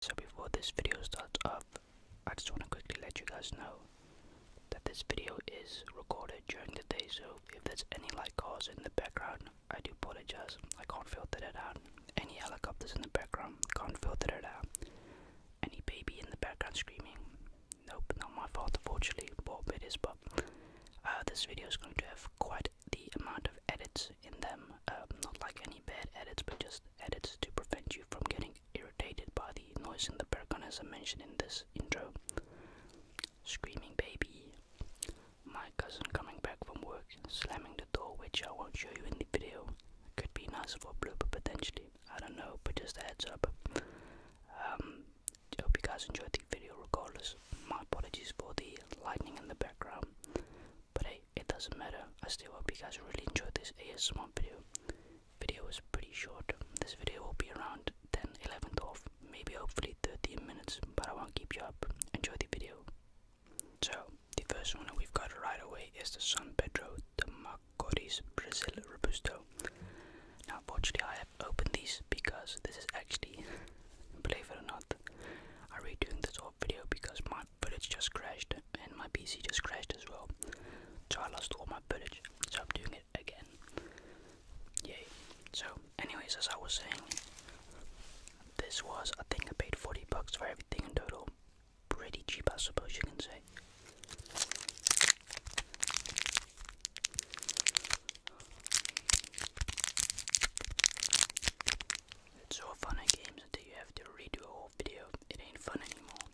So before this video starts up, I just want to quickly let you guys know that this video is recorded during the day so if there's any light cars in the background, I do apologize, I can't filter that out. Any helicopters in the background, can't filter that out. Any baby in the background screaming, nope, not my fault unfortunately, but it is but uh, this video is going to have quite the amount of edits in them, uh, not like any bad edits but just edits to prevent you from getting irritated by the noise in the background as I mentioned in this intro. Screaming baby, my cousin coming back from work, slamming the door which I won't show you in the video. Could be nice for a blooper potentially, I don't know, but just a heads up. Um, hope you guys enjoyed the video regardless. My apologies for the lightning in the background. But hey, it doesn't matter. I still hope you guys really enjoyed this ASMR video. Video was pretty short. This video will be around 10, 11, 12, maybe hopefully 13 minutes, but I won't keep you up. Enjoy the video. So, the first one that we've got right away is the San Pedro de Macorís Brazil Robusto. Now, fortunately, I have opened these because this is actually, believe it or not, I'm redoing this whole video because my footage just crashed and my PC just crashed as well. So I lost all my footage. So I'm doing it again. Yay. So anyways as I was saying this was I think I paid 40 bucks for everything in total. Pretty cheap I suppose you can say. It's so fun in games until you have to redo a whole video. It ain't fun anymore.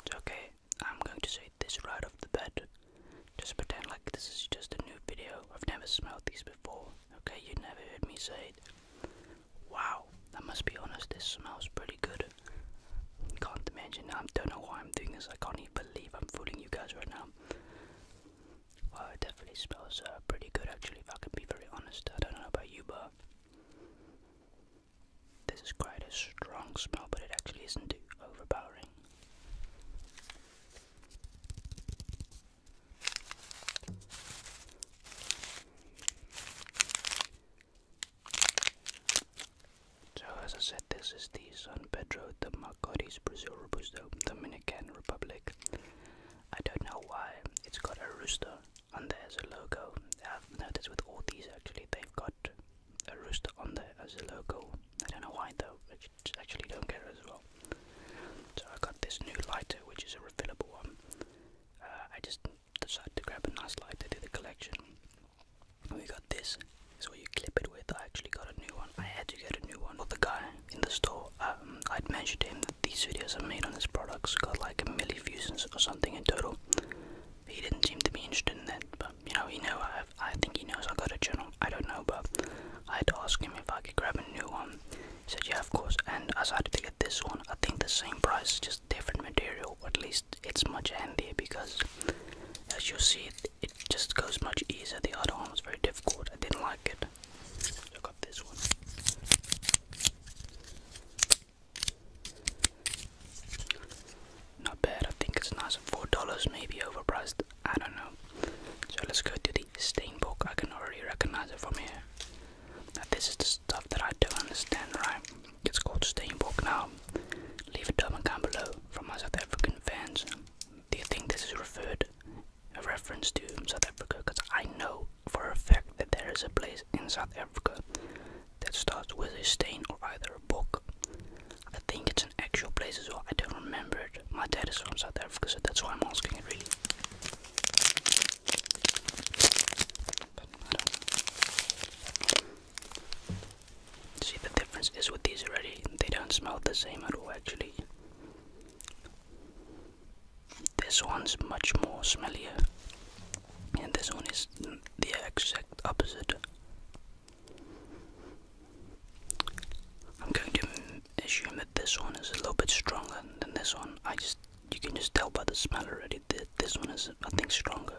It's okay, I'm going to say this right off the bat. Just pretend like this is just a new video. I've never smelled these before. Okay, you never heard me say it. Wow, I must be honest, this smells pretty good. Can't imagine, I don't know why I'm doing this. I can't even believe I'm fooling you guys right now. Um, well, it definitely smells uh, pretty good actually, if I can be very honest. I don't know about you, but this is quite a strong smell, but it actually isn't too overpowering. So as I said, this is the San Pedro de Macorís, Brazil, Robusto, Dominican Republic. I don't know why it's got a rooster on there as a logo. I've noticed with all these actually, they've got a rooster on there as a logo. I don't know why though, I actually don't care as well. So I got this new lighter, which is a refillable one. Uh, I just decided to grab a nice lighter to the collection. We got this. So you clip it with. I actually got a new one. I had to get a new one. But the guy in the store, um, I'd mentioned him that these videos I made on his products got like a million views or something in total. He didn't seem to be interested in that, but you know, he knows I have, I think he knows I got a channel. I don't know, but I had to ask him if I could grab a new one. He said, yeah, of course. And I decided to get this one. I think the same price, just different material. at least it's much handier because, as you see, it just goes much easier. The other one was very difficult. I didn't like it. I got this one. Not bad. I think it's nice. Four dollars, maybe overpriced. I don't know. So let's go to the stain book. I can already recognize it from here. this is the stuff that I don't understand, right? It's called stain book now. Leave a comment down below from my South African fans. Do you think this is referred a reference to South Africa? Because I know for a fact that there is a place in South Africa that starts with a stain or either a book. I think it's an actual place as well. I don't remember it. My dad is from South Africa, so that's why I'm asking it really. See the difference is with these already, they don't smell the same at all actually. This one's much more smellier, and this one is the exact opposite. I'm going to assume that this one is a little bit stronger than this one. I just you can just tell by the smell already that this one is I think stronger.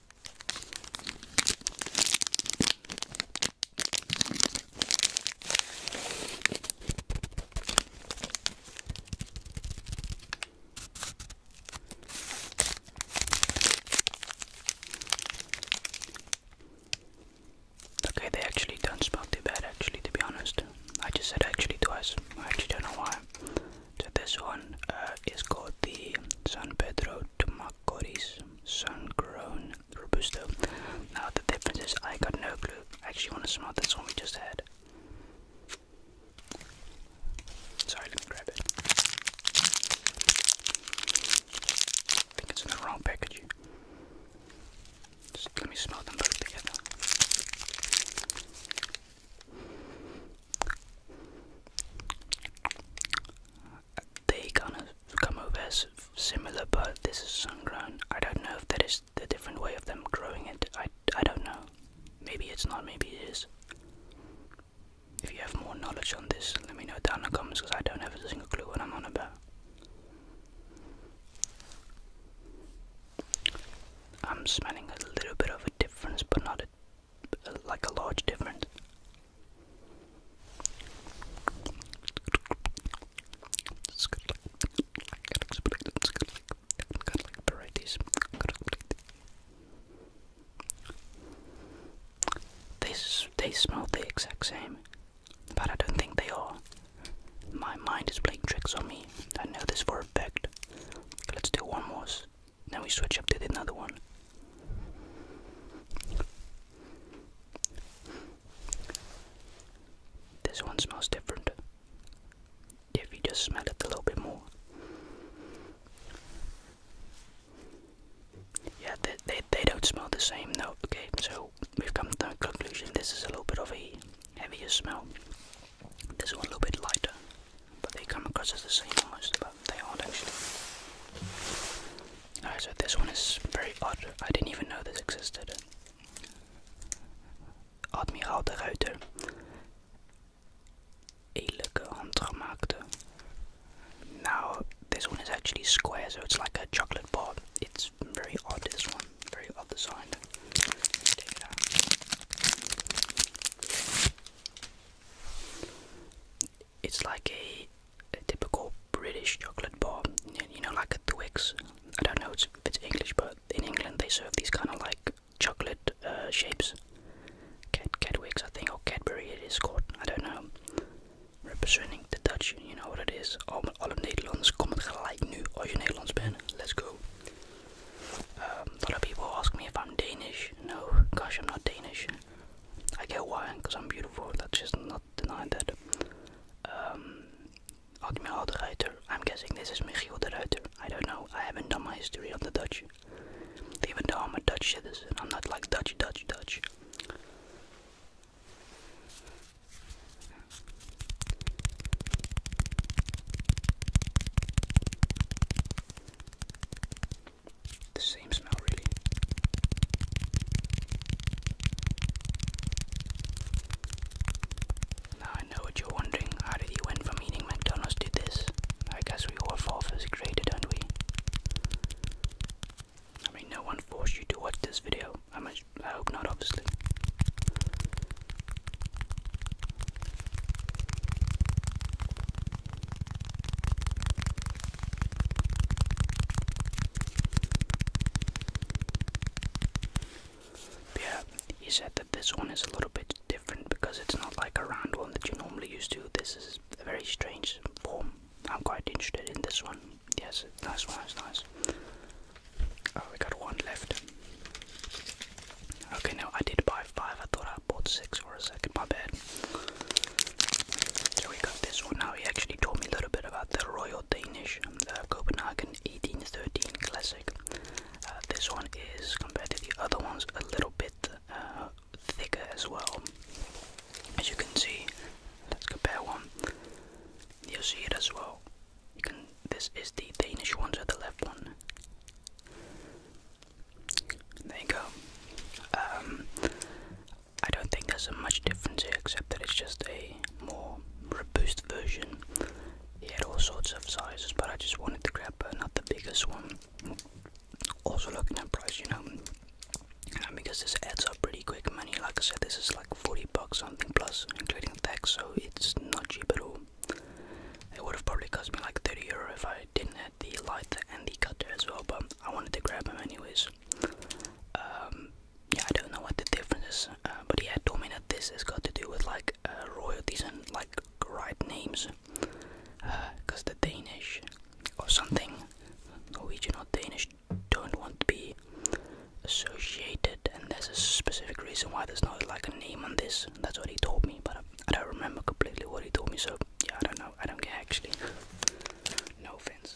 Okay, they actually don't smell too bad actually to be honest. I just said actually twice. I actually don't know why. So this one uh, is called the San Pedro Tomacoris Sun-Grown Robusto. Now the difference is I got no clue. I actually want to smell this one we just had. Sorry, let me grab it. I think it's in the wrong package. let me smell them both together. They gonna come over as similar, but this is sun grown. I don't know if that is the different way of them growing it. I, I don't know. Maybe it's not, maybe it is. If you have more knowledge on this, let me know down in the comments because I don't have a single clue what I'm on about. I'm smelling a little bit of a difference, but not a like a large difference. it they smell the exact same, but I don't think they are. My mind is playing tricks on me. I know this for a fact. Let's do one more now we switch up to another one. This one smells different. If you just smell it a little bit more. Yeah, they, they, don't smell the same. No, okay, so we've come to the conclusion this is a little bit of a heavier smell. This one a little bit lighter, but they come across as the same almost, but they aren't actually. Alright, so this one is very odd. I didn't even know this existed. Admiraal de Ruiter. Eerlijke handgemaakte. Now, this one is actually square, so it's like a chocolate bar. It's very odd, this one. Very odd designed. Take it's like a, typical British chocolate bar, you know, like a Twix. I don't know if it's English, but in England they serve these kind of like chocolate uh, shapes. Cat Catwicks, I think, or Cadbury it is called. I don't know. Representing the Dutch, you know what it is. Alle Nederlanders komen gelijk nu als je Nederlands bent. Let's go. Um, a lot of people ask me if I'm Danish. No, gosh, I'm not Danish. I get why, because I'm beautiful. That's just not denying that. Admiral de Ruiter. I'm guessing this is Michiel de Ruiter. I don't know. I haven't done my history on the Dutch. Even though I'm a Dutch citizen, I'm not like Dutch, Dutch, Dutch. The same smell, really. Now I know what you're wondering. How did he went from eating McDonald's to this? I guess we all fall for first graded, don't we? I mean, no one forced you to watch this video. I, must, I hope not, obviously. Yeah, he said that this one is a little bit different because it's not like a round one that you normally used to. This is a very strange form. I'm quite interested in this one. Yes, nice one, it's nice. Oh, we got one left. Okay, now I did buy five. I thought I bought six for a second. My bad. So we got this one. Now he actually told me a little bit about the Royal Danish, um, the Copenhagen 1813 Classic. Uh, this one is compared to the other ones a little bit uh, thicker as well. As you can see, let's compare one. You'll see it as well. This is the Danish one, to the left one. There you go. Um, I don't think there's a much difference here, except that it's just a more robust version. He had all sorts of sizes, but I just wanted to grab uh, not the biggest one. Also looking at price, you know, um, because this adds up pretty quick money. Like I said, this is like 40 bucks something plus, including tax, so it's not cheap at all. It would have probably cost me like 30 euro if I didn't have the lighter and the cutter as well, but I wanted to grab him anyways. Um, yeah, I don't know what the difference is, uh, but yeah, I told me that this has got to do with like uh, royalties and like right names, because uh, the Danish or something, Norwegian or Danish, don't want to be associated, and there's a specific reason why there's not like a name on this. That's what he told me, but I don't remember completely what he told me, so yeah, I don't know. I don't get actually. No offense.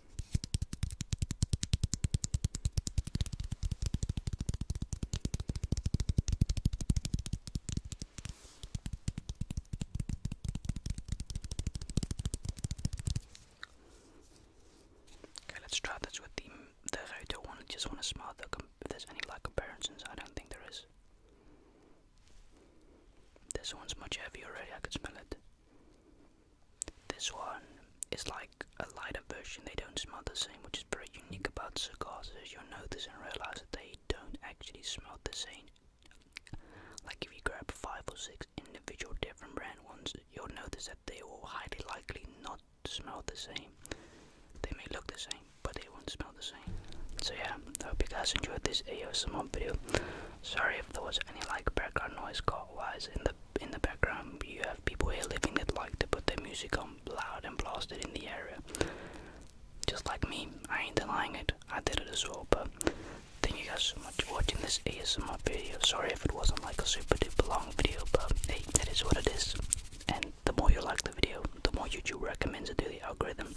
Okay, let's try this with the the router one. just want to smell the if there's any like comparisons. I don't think there is. This one's much heavier already. I can smell it. This one is like a lighter version, they don't smell the same, which is very unique about cigars. Is you'll notice and realize that they don't actually smell the same. Like if you grab five or six individual different brand ones, you'll notice that they all highly likely not smell the same. They may look the same, but they won't smell the same. So yeah, I hope you guys enjoyed this ASMR video. Sorry if there was any like background noise car wise in the in the background you have people here living that like to put their music on loud and blasted in the area. Just like me, I ain't denying it, I did it as well, but thank you guys so much for watching this ASMR video. Sorry if it wasn't like a super duper long video, but hey, that is what it is. And the more you like the video, the more YouTube recommends it to the algorithm.